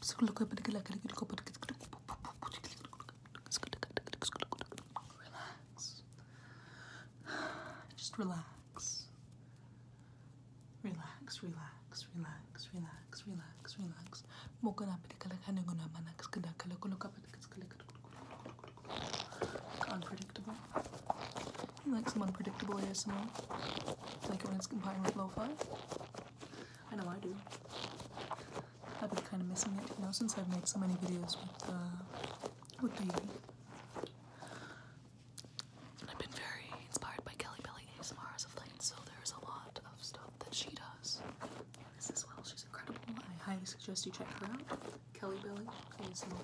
Just relax. Relax, relax, relax, relax, relax, relax. Unpredictable. I like some unpredictable ASMR. Like when it's combined with lo-fi. I know I do. I've been kind of missing it, you know, since I've made so many videos with, the uh, with the. I've been very inspired by Kelly Belly ASMR as of late, so there's a lot of stuff that she does this is well. She's incredible. I highly suggest you check her out. Kelly Belly ASMR.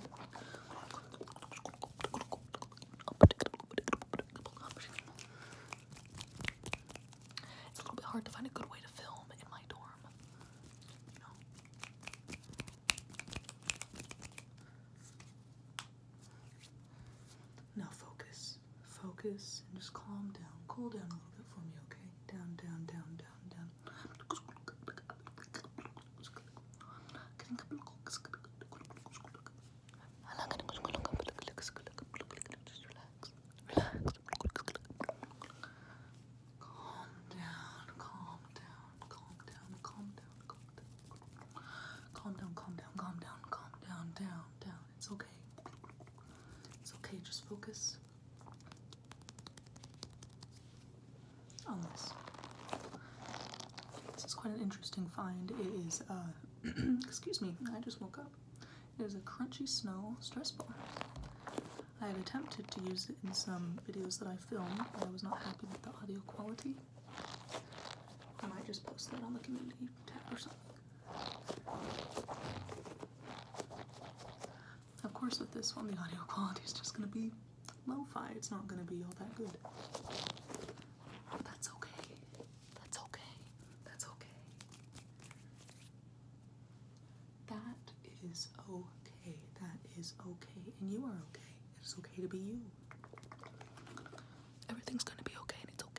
It's a little bit hard to find a good way to film in my dorm. You focus. Focus and just calm down. Cool down a little bit for me, okay? Down, down, down, down, down. Just relax. Relax. Calm down, calm down, calm down, calm down, calm down. Calm down, calm down, calm down, calm down, down, down. It's okay. It's okay, just focus this. is quite an interesting find. It is, uh, excuse me, I just woke up. It is a crunchy snow stress ball. I had attempted to use it in some videos that I filmed, but I was not happy with the audio quality. I might just post that on the community tab or something. Of course, with this one, the audio quality is just going to be lo-fi. It's not gonna be all that good. That's okay. That's okay. That's okay. That is okay. That is okay. And you are okay. It's okay to be you. Everything's gonna be okay and it's okay.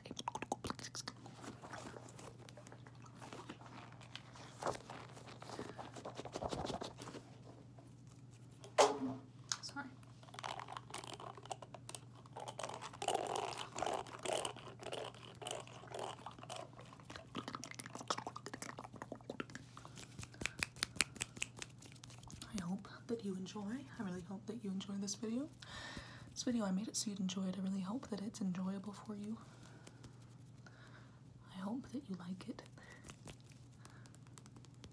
I hope that you enjoy. I really hope that you enjoy this video. This video, I made it so you'd enjoy it. I really hope that it's enjoyable for you. I hope that you like it.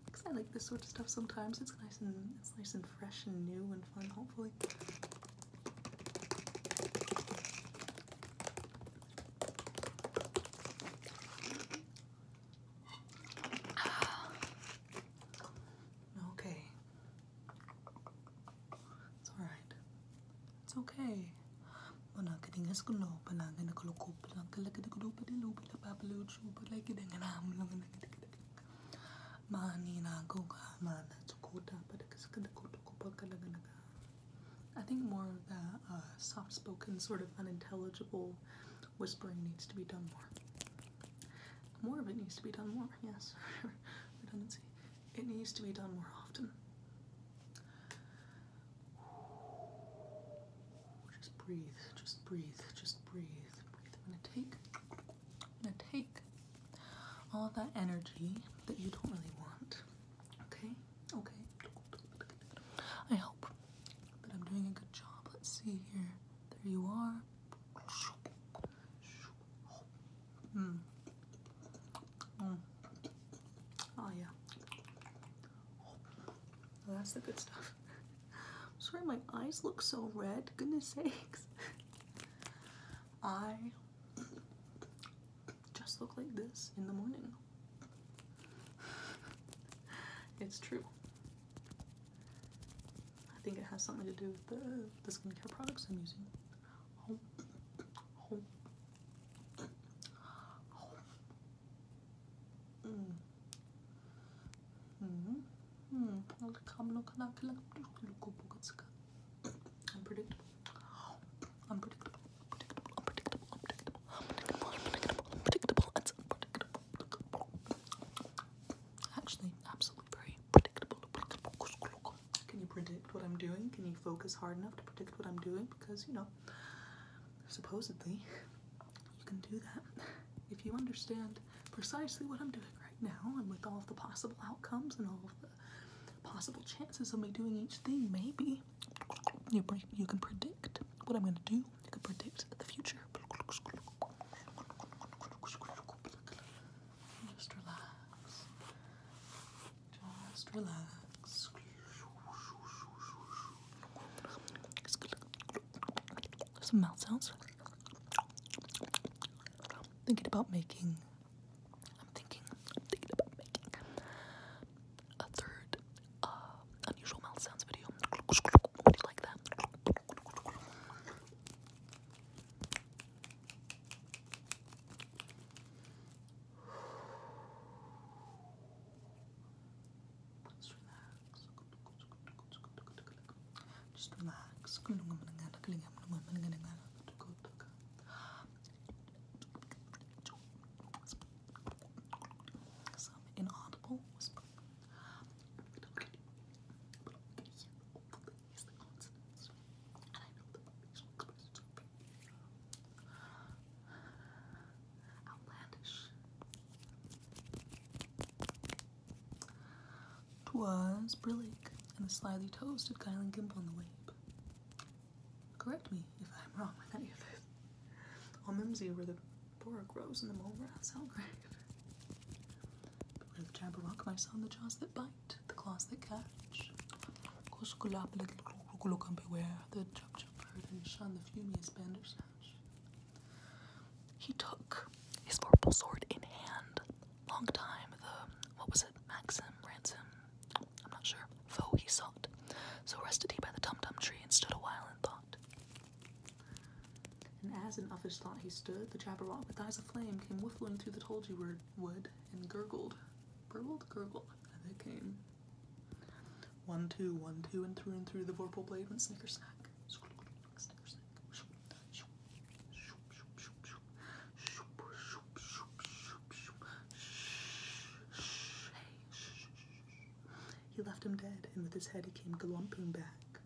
Because I like this sort of stuff sometimes. It's nice and it's nice and fresh and new and fun, hopefully. Okay. It's alright. It's okay. I think more of the soft-spoken, sort of unintelligible whispering needs to be done more. More of it needs to be done more, yes. Redundancy. It needs to be done more often. Just breathe, just breathe, just breathe, I'm gonna take, I'm gonna take all that energy that you don't really want. Okay, okay. I hope But I'm doing a good job. Let's see here. There you are. Mm. Oh yeah. Oh, that's the good stuff. sorry my eyes look so red. Goodness sakes. I just look like this in the morning. It's true. I think it has something to do with the, skincare products I'm using. Unpredictable. Unpredictable. Unpredictable. Unpredictable. Unpredictable. Unpredictable. Unpredictable. It's unpredictable. Actually, absolutely very predictable. Can you predict what I'm doing? Can you focus hard enough to predict what I'm doing? Because you know, supposedly, you can do that if you understand precisely what I'm doing right now and with all the possible outcomes and all of the possible chances of me doing each thing. Maybe you, you can predict what I'm going to do, you can predict the future. Just relax. Just relax. Some mouth sounds. Thinking about making. I'm thinking. thinking about making a third uh, unusual mouth sounds video. Would you like that? Just relax. Just relax. Some inaudible whisper. But okay. But okay. Hopefully, he's the consonants. And outlandish. Twas brillig and a slyly toasted Kyle and Gimp on the wabe. Correct me if I'm wrong with any of this. All mimsy where the borough grows in the mole rat's grave. But where the jabberwock my son, the jaws that bite, the claws that catch, the Jubjub bird and shone the fumiest Bandersnatch. He took his purple sword in hand. Long time the, what was it, Maxim, Ransom, I'm not sure, foe he sought. So rested he by the tumtum tree and stood a while in thought. And as in others thought he stood, the Jabberwock with eyes of flame came whiffling through the Tolgy wood and gurgled, burbled, gurgled, Another game. One, two, one, two, and through and through the vorpal blade went snicker snack. He left him dead, and with his head he came galumphing back.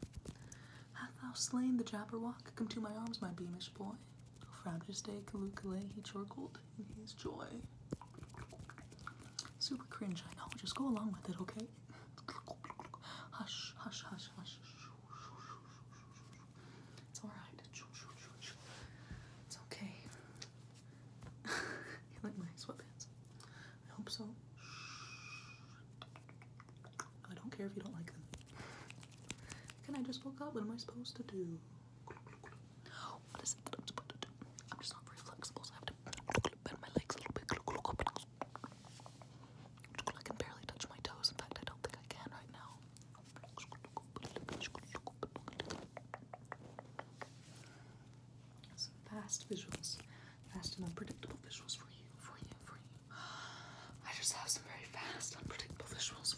Hath thou slain the Jabberwock? Come to my arms, my beamish boy. Founder's Day Kalukalei chorkled in his joy. Super cringe, I know. Just go along with it, okay? Hush, hush, hush, hush. It's alright. It's okay. you like my sweatpants? I hope so. I don't care if you don't like them. Can I just woke up? What am I supposed to do? I'm just not very flexible, so I have to bend my legs a little bit. I can barely touch my toes. In fact, I don't think I can right now. Some fast visuals, fast and unpredictable visuals for you, for you, for you. I just have some very fast, unpredictable visuals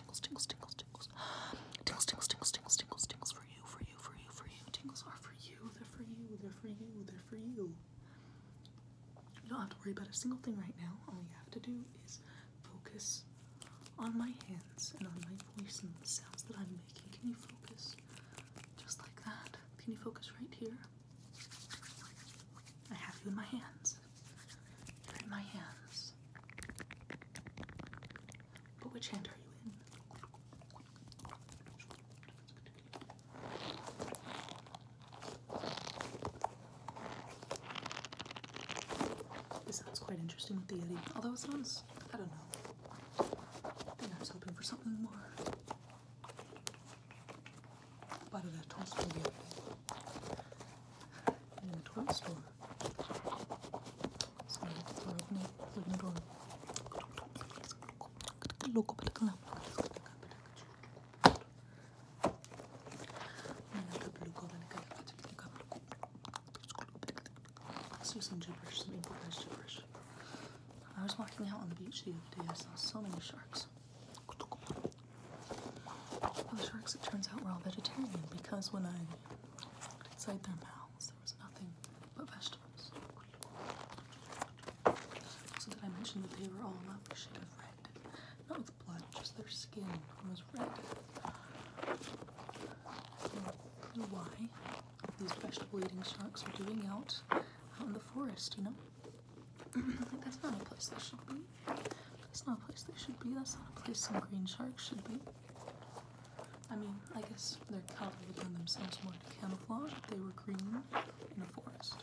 tingles, tingles, tingles, tingles. Tingles, tingles, tingles, tingles, tingles, tingles for you, for you, for you, for you. Tingles are for you, they're for you, they're for you, they're for you. You don't have to worry about a single thing right now. All you have to do is focus on my hands and on my voice and the sounds that I'm making. Can you focus? Just like that. Can you focus right here? I have you in my hands. You're in my hands. But which hand are you in? This sounds quite interesting with the Yeti, although it sounds, I don't know. I think I was hoping for something more. But that toast can be everything. Let's do some gibberish, I was walking out on the beach the other day, I saw so many sharks. Well, sharks, it turns out, were all vegetarian because when I Inside their mouths, there was nothing but vegetables. Also, did I mention that they were all a shade of red? Not with blood, just their skin was red. Hmm. why these vegetable-eating sharks are doing out out in the forest, you know? that's not a place they should be. That's not a place they should be. That's not a place some green sharks should be. I mean, I guess their color would lend themselves more to camouflage if they were green in a forest.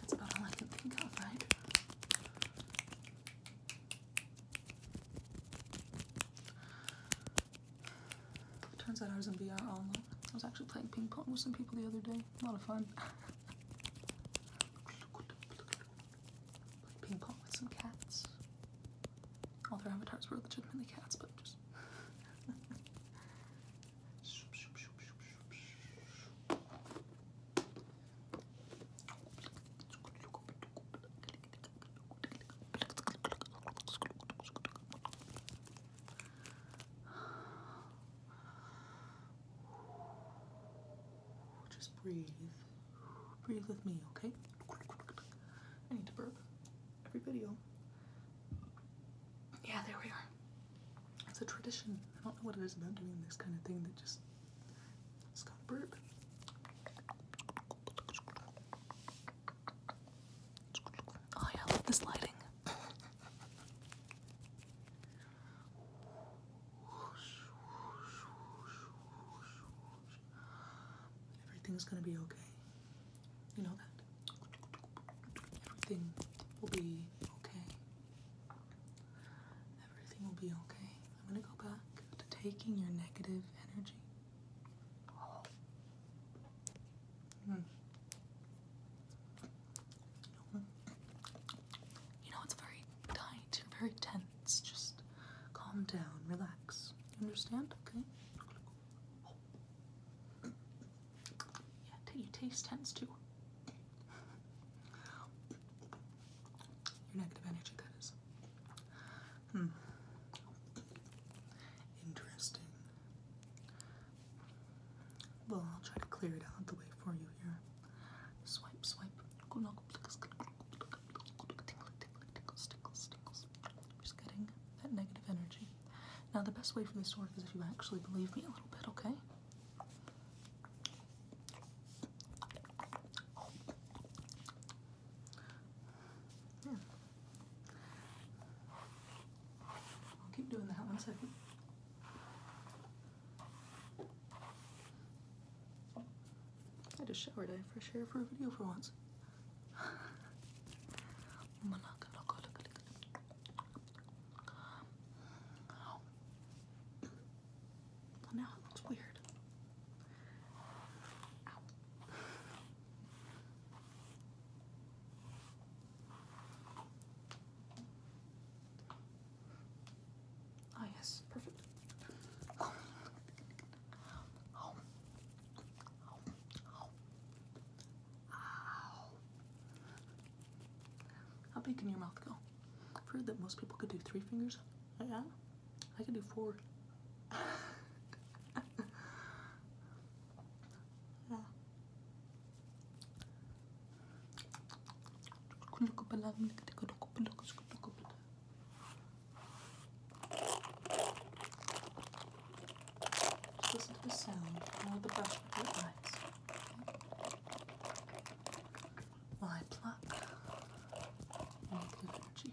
That's about all I can think of, right? Turns out I was in VR all alone. I was actually playing ping pong with some people the other day. A lot of fun. play ping pong with some cats. All their avatars were legitimately cats, but just. Just breathe. Breathe with me, okay? I need to burp every video. Yeah, there we are. It's a tradition. I don't know what it is about doing this kind of thing that just, it has gotta burp. Oh yeah, I love this lighting. Everything's gonna be okay. You know that? Everything will be okay. Everything will be okay. I'm gonna go back to taking your negative energy. Hmm. You know, it's very tight, very tense. Just calm down, relax. You understand? Okay? Yeah, you taste tense too. Your negative energy, that is. Hmm. Interesting. Well, I'll try to clear it out the way for you here. Swipe, swipe. Just getting that negative energy. Now, the best way for this to work is if you actually believe me a little bit, okay? Yeah. Hmm. I'll keep doing that one second. I just showered. I have fresh hair for a video for once. now it looks weird. Ah yes, perfect. How big can your mouth go? I've heard that most people could do three fingers. Yeah, I can do four. yeah. Just listen to the sound of the brush with your eyes. While pluck energy.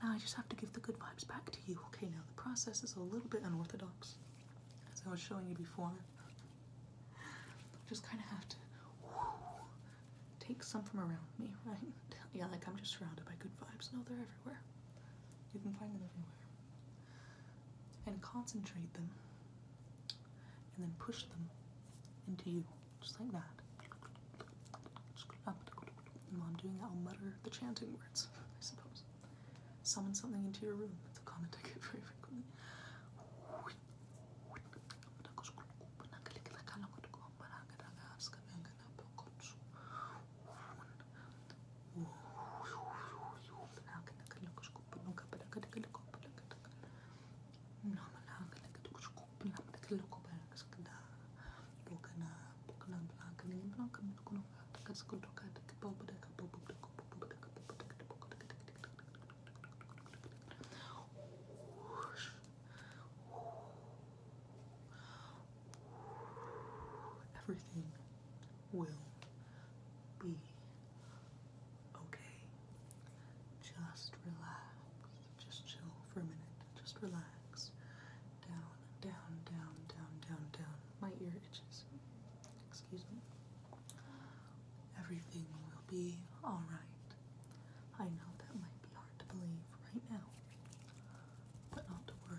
And now I just have to give the good vibes back to you. Okay, now the process is a little bit unorthodox, as I was showing you before. Just kind of have to take some from around me, right? Yeah, like I'm just surrounded by good vibes. No, they're everywhere. You can find them everywhere. And concentrate them and then push them into you, just like that. while I'm doing that, I'll mutter the chanting words, I suppose. Summon something into your room. That's a comment Everything will be Okay? Just relax. Just chill for a minute. Just relax. Down, down, down, down, down, down. My ear itches. Excuse me. Everything will be alright. I know that might be hard to believe right now, but not to worry.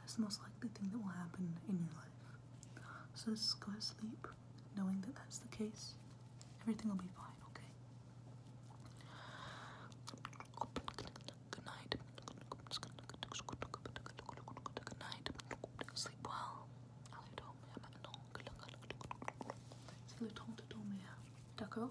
That's the most likely thing that will happen in your life. So just go to sleep knowing that that's the case. Everything will be fine, okay? Good night. Good night. Sleep well. C'est le temps de dormir, d'accord